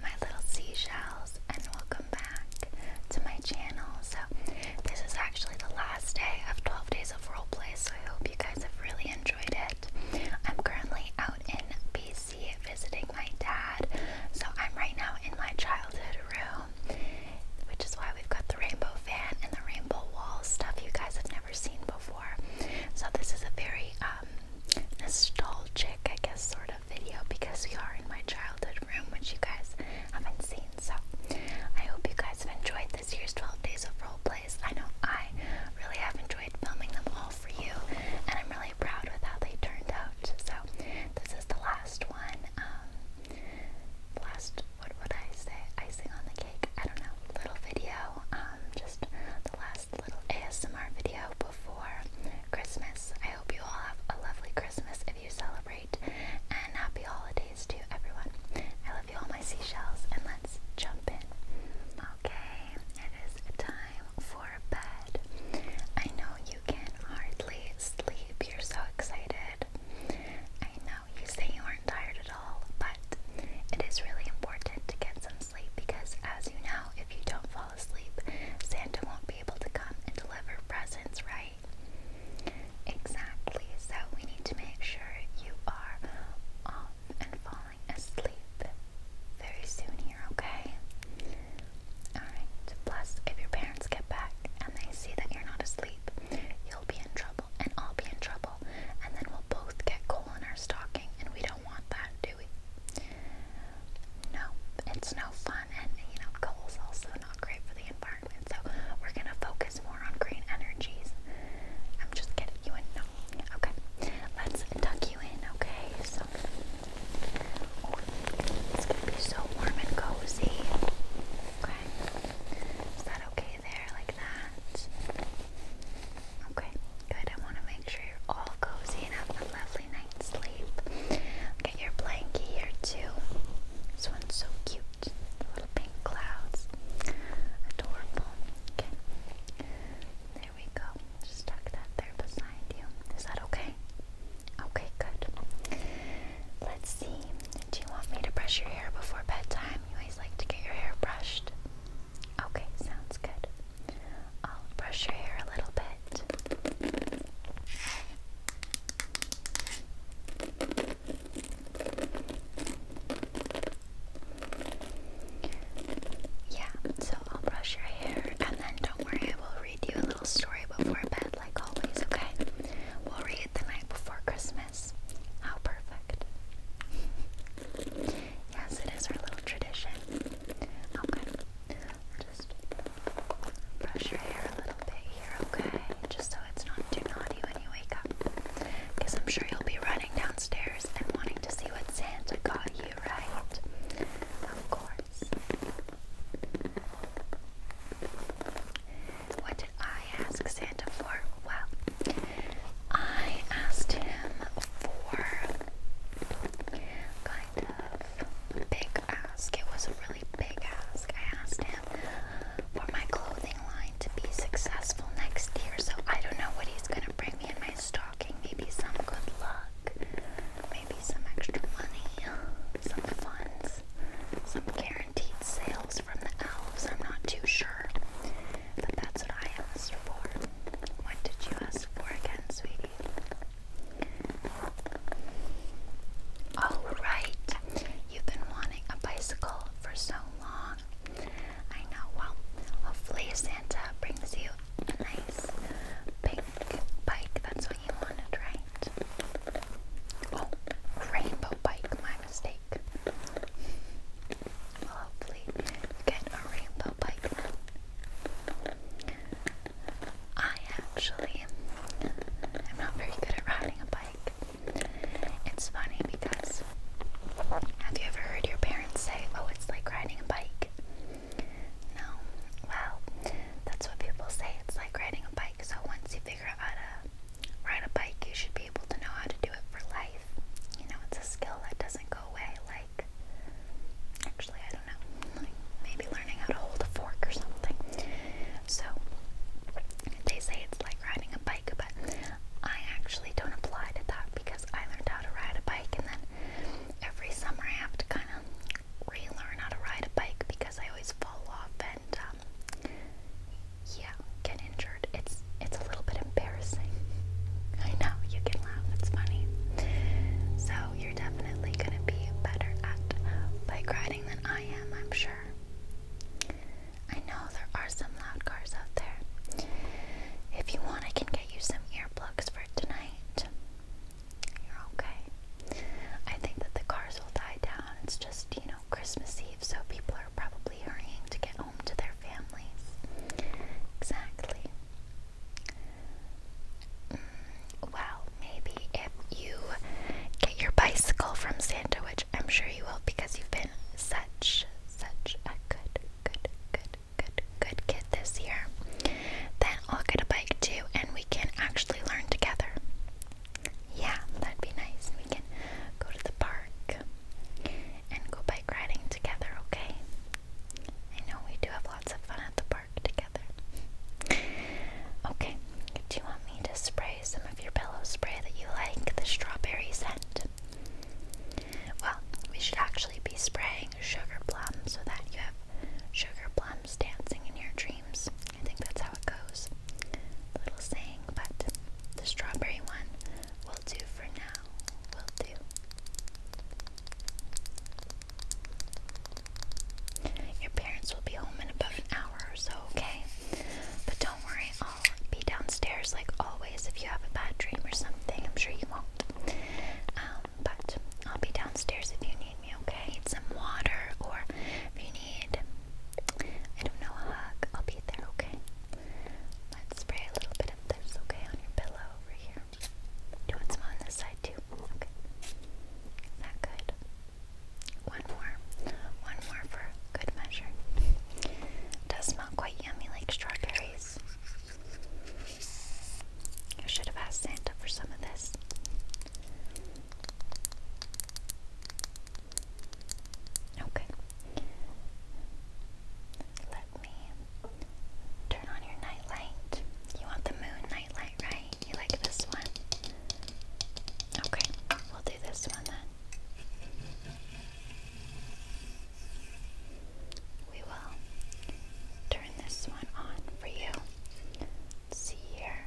my little seashells and welcome back to my channel so this is actually the last day of 12 days of roleplay so I hope you guys have really enjoyed it I'm currently out in BC visiting my dad so I'm right now in my childhood room which is why we've got the rainbow fan and the rainbow wall stuff you guys have never seen before so this is a very um nostalgic, I guess, sort of video because we are in my childhood room, which you guys haven't seen. So I hope you guys have enjoyed this year's 12 Days of Role Plays. I know I really have enjoyed filming them all for you, and I'm really proud with how they turned out. So this is the last one. Um, last, what would I say? Icing on the cake. I don't know. Little video. Um, just the last little ASMR video before Christmas. I hope you all have a lovely Christmas if you celebrate, and happy holidays to everyone. I love you all, my seashells, and let's jump in. Okay, it is time for bed. I know you can hardly sleep, you're so excited. I know you say you aren't tired at all, but it is really important to get some sleep because, as you know, if you don't fall fall asleep, Santa won't be able to come and deliver presents, right? Exactly, so we need to make sure you are off and falling asleep very soon here, okay? Alright, plus if your parents get back and they see that you're not asleep, you'll be in trouble and I'll be in trouble, and then we'll both get coal in our stocking and we don't want that, do we? No, it's no fun, and you know, coal's also not great for the environment. So we're gonna focus more on green energies. I'm just getting you in. No, okay. Let's tuck you in, okay? So oh, it's gonna be so warm and cozy. Okay, is that okay there, like that? Okay, good. I want to make sure you're all cozy and have a lovely night's sleep. Get your blanket here too. This one's so cute. The little pink clouds. Adorable. Okay. There we go. Just tuck that there beside you. Is that okay? Okay, good. Let's see. Do you want me to brush your hair before bedtime? You always like to get your hair brushed. Okay, sounds good. I'll brush your hair a little bit. Yeah, so I'll brush your hair and then don't worry, I will read you a little story before bed, like always, okay? We'll read the night before Christmas. How perfect. Yes, it is our little tradition. Okay. Just brush your hair a little bit here, okay? Just so it's not too naughty when you wake up. Because I'm sure you'll be running downstairs and wanting to see what Santa got you, right? Of course. What did I ask Santa for? Well, I asked him for kind of a big ask. It was a really big ask. I asked him for my clothing line to be successful next year. So I don't know what he's gonna bring me in my stocking. Maybe some good luck, maybe some extra money, some funds, some guaranteed sales from the elves. I'm not too sure. But that's what I asked for. What did you ask for again, sweetie? Oh, right. You've been wanting a bicycle for so long. I know. Well, hopefully, Santa brings you a nice pink bike. That's what you wanted, right? Oh, rainbow bike. My mistake. We'll hopefully get a rainbow bike. I actually am not very good at riding a bike. It's funny because have you ever heard your parents say, Oh, it's like riding a bike? No. Well, that's what people say. It's like riding a bike. So once you figure out how to ride a bike, you should be able to know how to do it for life. You know, it's a skill that doesn't go away like like, actually, I don't know, like maybe learning how to hold a fork or something. So, they say it's like riding a bike, but I actually don't apply to that because I learned how to ride a bike, and then every summer I have to kind of relearn how to ride a bike because I always fall off and, um, yeah, get injured. It's it's a little bit embarrassing. I know you can laugh; it's funny. So you're definitely gonna be better at bike riding than I am, I'm sure. I know there are some loud cars out there. If you want, I can get you some earplugs for tonight. You're okay. I think that the cars will die down. It's just, you know, Christmas Eve, so people are probably hurrying to get home home to their families. Exactly. Mm, well, maybe if you get your bicycle from Santa, which I'm sure you will because you've been such, such a good, good, good, good, good kid this year, then I'll get a bike too and we can actually learn together. Yeah, that'd be nice. We can go to the park and go bike riding together, okay? I know we do have lots of fun at the park together. okay, do you want me to spray some of your pillow spray that you like, the strawberry scent? Well, we should actually be spraying sugar plums so that you have sugar plums dancing in your dreams. I think that's how it goes. little saying, but the strawberry one will do for now. Will do. Your parents will be home in about an hour or so, okay? But don't worry, I'll be downstairs like always if you have a bad dream or something. I'm sure you won't. Um, but I'll be downstairs if you need me, okay? some water or if you need, I don't know, a hug. I'll be there, okay? Let's spray a little bit of this, okay, on your pillow over here. you want some on this side too? Okay. that good? One more. One more for good measure. does smell quite yummy like strawberries. I should have asked Santa for some of this. Okay turn on your nightlight. You want the moon nightlight, right? You like this one? Okay, we'll do this one then. We will turn this one on for you. see here.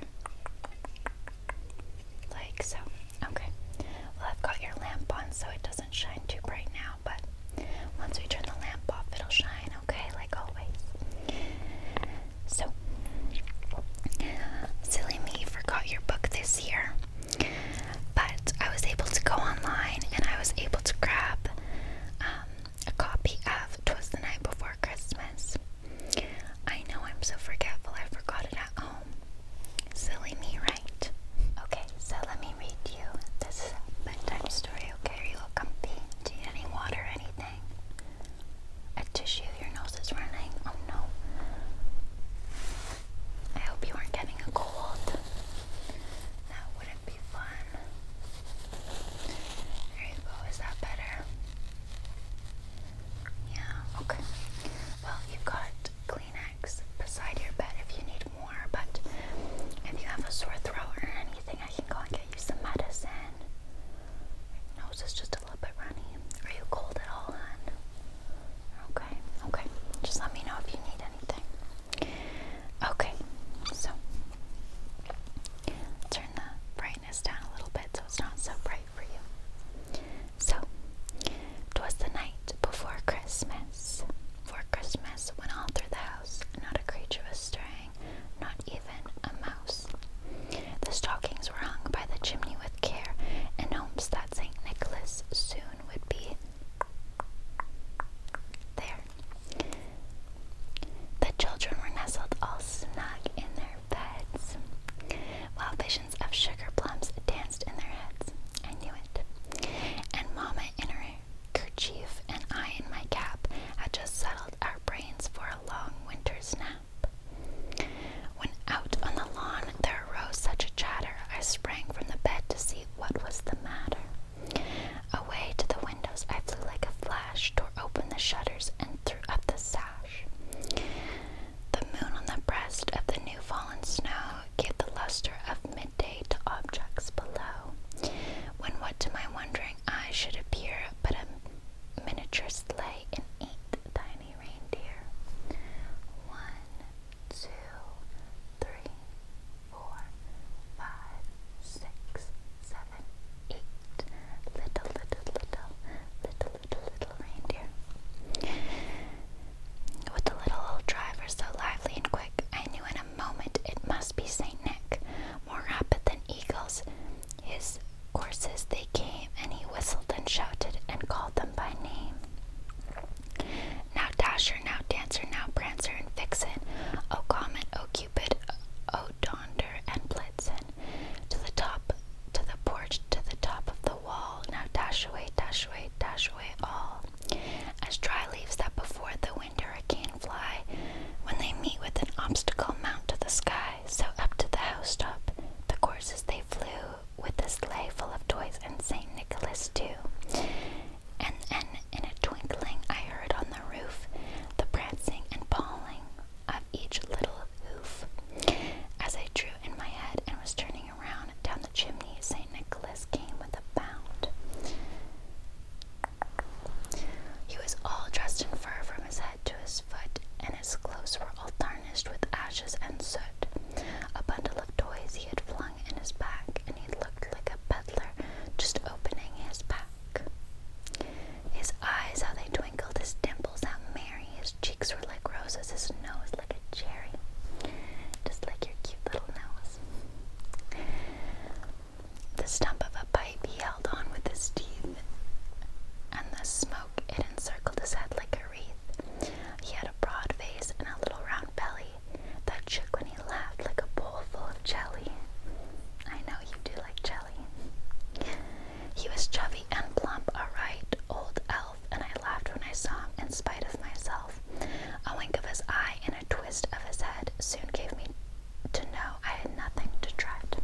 Like so. Okay. Well, I've got your lamp on so it doesn't shine too bright now but once we turn the lamp off, it'll shine, okay? Like always. So, silly me forgot your book this year, but I was able to go online and I was able to grab um, a copy of Twas the Night Before Christmas. I know I'm so forgetful, I forgot it at home. Silly me, right? Okay, so let me read you this bedtime story, okay? Are you all comfy? Do you need any water, or anything? A tissue? Your nose is running? Oh no. I hope you aren't getting a cold. That wouldn't be fun. There you go, is that better? Yeah, okay. Well, you've got Kleenex beside your bed if you need more, but if you have a sore throat or anything, I can go and get you some medicine. Your nose is just a little bit runny. Are you cold at all, hon? Okay, okay. Just let me know if you need anything. Okay, so turn the brightness down a little bit so it's not so bright for you. So, 'twas the night before Christmas. For Christmas went all through the house, not a creature was stirring, not even a mouse. The stockings were hung by the chimney with care, in hopes that St. Nicholas soon would be there. The children were nestled all snug in their beds, while visions of sugar plums danced in their heads. I knew it. And Mama in her kerchief and I in my cap had just settled our brains for a long winter's nap. When out on the lawn there arose such a chatter, I sprang from the bed to see what was the matter. Away to the windows I flew like a flash, tore open the shutters, and threw up the sash. The moon on the breast of the new fallen snow gave the luster of midday to objects below, when what to my wondering eyes should appear but a miniature sleigh and eight tiny reindeer. One, two, three, four, five, six, seven, eight. Little, little, little, little, little, little reindeer. With the little old driver so lively and quick, I knew in a moment it must be St. Nick, more rapid than eagles. His horses they came, and he whistled and shouted and called them by name. Now Dasher, now Dancer, now Prancer and Vixen, O Comet, O Cupid, O Donder and Blitzen, to the top, to the porch, to the top of the wall, now dash away, dash away, dash away all. As dry leaves that before the wind hurricane fly, when they meet with an obstacle, mount to the sky. So up to the housetop, the courses they flew, with a sleigh full of toys and Saint Nicholas too. And then, in a twinkling, I heard on the roof the prancing and pawing of each little hoof. As I drew in my head and was turning around down the chimney, St. Nicholas came with a bound. He was all dressed in fur from his head to his foot, and his clothes were all tarnished with ashes and soot. A bundle of toys he had flung in his back, and he looked like a peddler just opening his pack. His eyes, how they twinkled, his dimples, how merry his cheeks were like roses, his nose like a cherry. Just like your cute little nose. The stump of a pipe he held on with his teeth, and the smoke it encircled his head like a wreath. He had a broad face and a little round belly that shook when he laughed like a bowl full of jelly. I know you do like jelly. He was chubby and plump, all right, old old and I laughed when I saw him in spite of myself. A wink of his eye and a twist of his head soon gave me to know I had nothing to dread.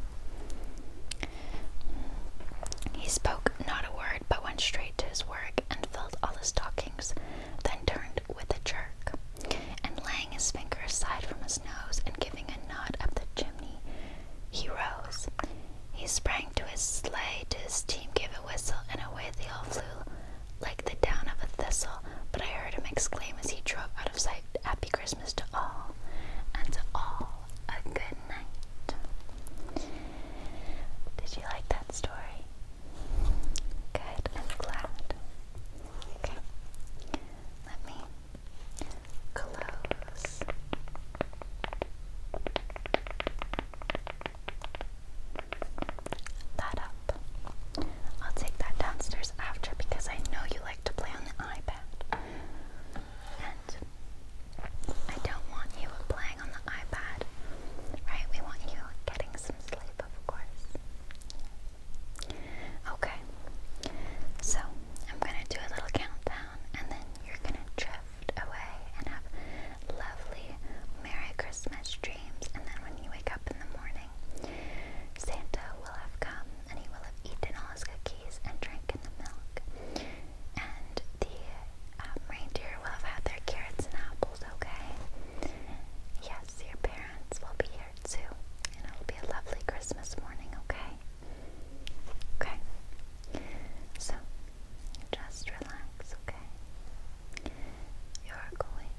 He spoke not a word, but went straight to his work and filled all his stockings, then turned with a jerk, and laying his finger aside from his nose and giving a nod up the chimney, he rose. He sprang to his sleigh, to his team, gave a whistle, and away they all flew like the down of a thistle. But I heard him exclaim as he drove out of sight, Happy Christmas to all, and to all a good night. Did you like that story? Good, I'm glad. Okay, let me close that up. I'll take that downstairs after because I know you like to play on the iPad. And I don't want you playing on the iPad, right? We want you getting some sleep, of course. Okay, so I'm gonna do a little countdown and then you're gonna drift away and have lovely Merry Christmas dreams. And then when you wake up in the morning, Santa will have come and he will have eaten all his cookies and drank drinking the milk. And the um, reindeer will have had their carrots and apples, okay? Yes, your parents will be here too. And it will be a lovely Christmas morning, okay? Okay. So, just relax, okay? You're going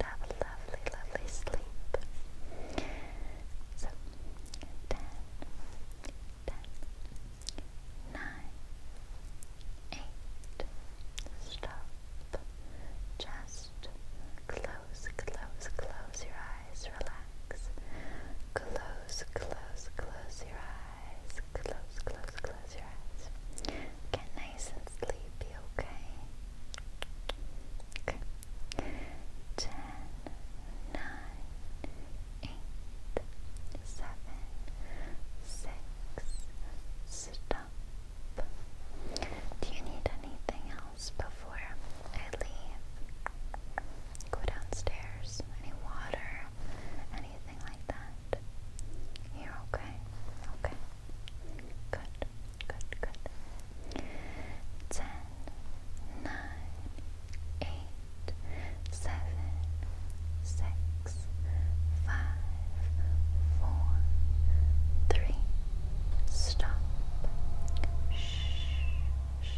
to have a lovely, lovely sleep. So, 10, 8, stop. Just close, close, close your eyes, relax. Close, close, close your eyes. Close, close, close your eyes. Get nice and sleepy, okay? Okay. Ten, nine, eight, seven, six. Stop. Do you need anything else before I leave? go downstairs, any water, anything like that. You're okay? Okay. Good, good, good. Ten, nine, eight, seven, six, five, four, three, stop. Shh. Shh.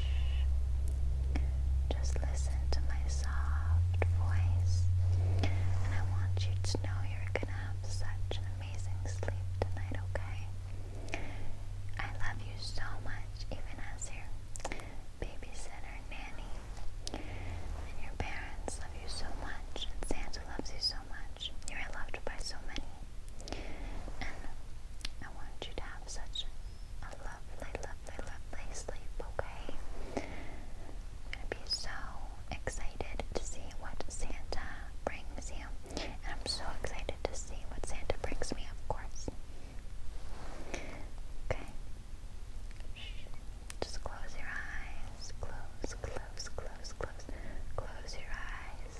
Just listen to my soft voice, and I want you to know you're gonna have such an amazing sleep tonight, okay? I love you so much, even as your babysitter, nanny, and your parents love you so much, and Santa loves you so much. You are loved by so many, and I want you to have such a lovely, lovely, lovely sleep, okay? I'm gonna be so excited to see what Santa brings And I'm so excited to see what Santa brings me, of course. Okay. Just close your eyes. Close, close, close, close. Close your eyes.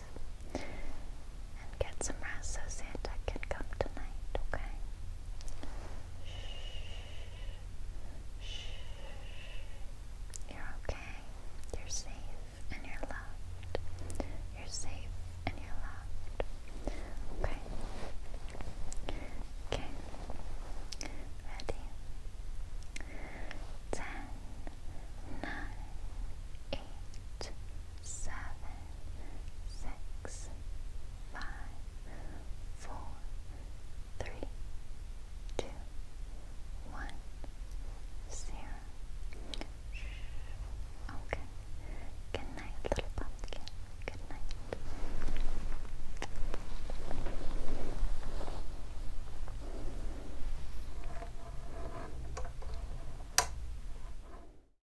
And get some rest so Santa can come tonight, okay? You're okay. You're safe and you're loved. You're safe and you're loved. Okay. Okay. Ready? Ten, nine, eight seven, six, five, four, three, two, one, zero. Shh. Okay. Good night, little pumpkin. Good night.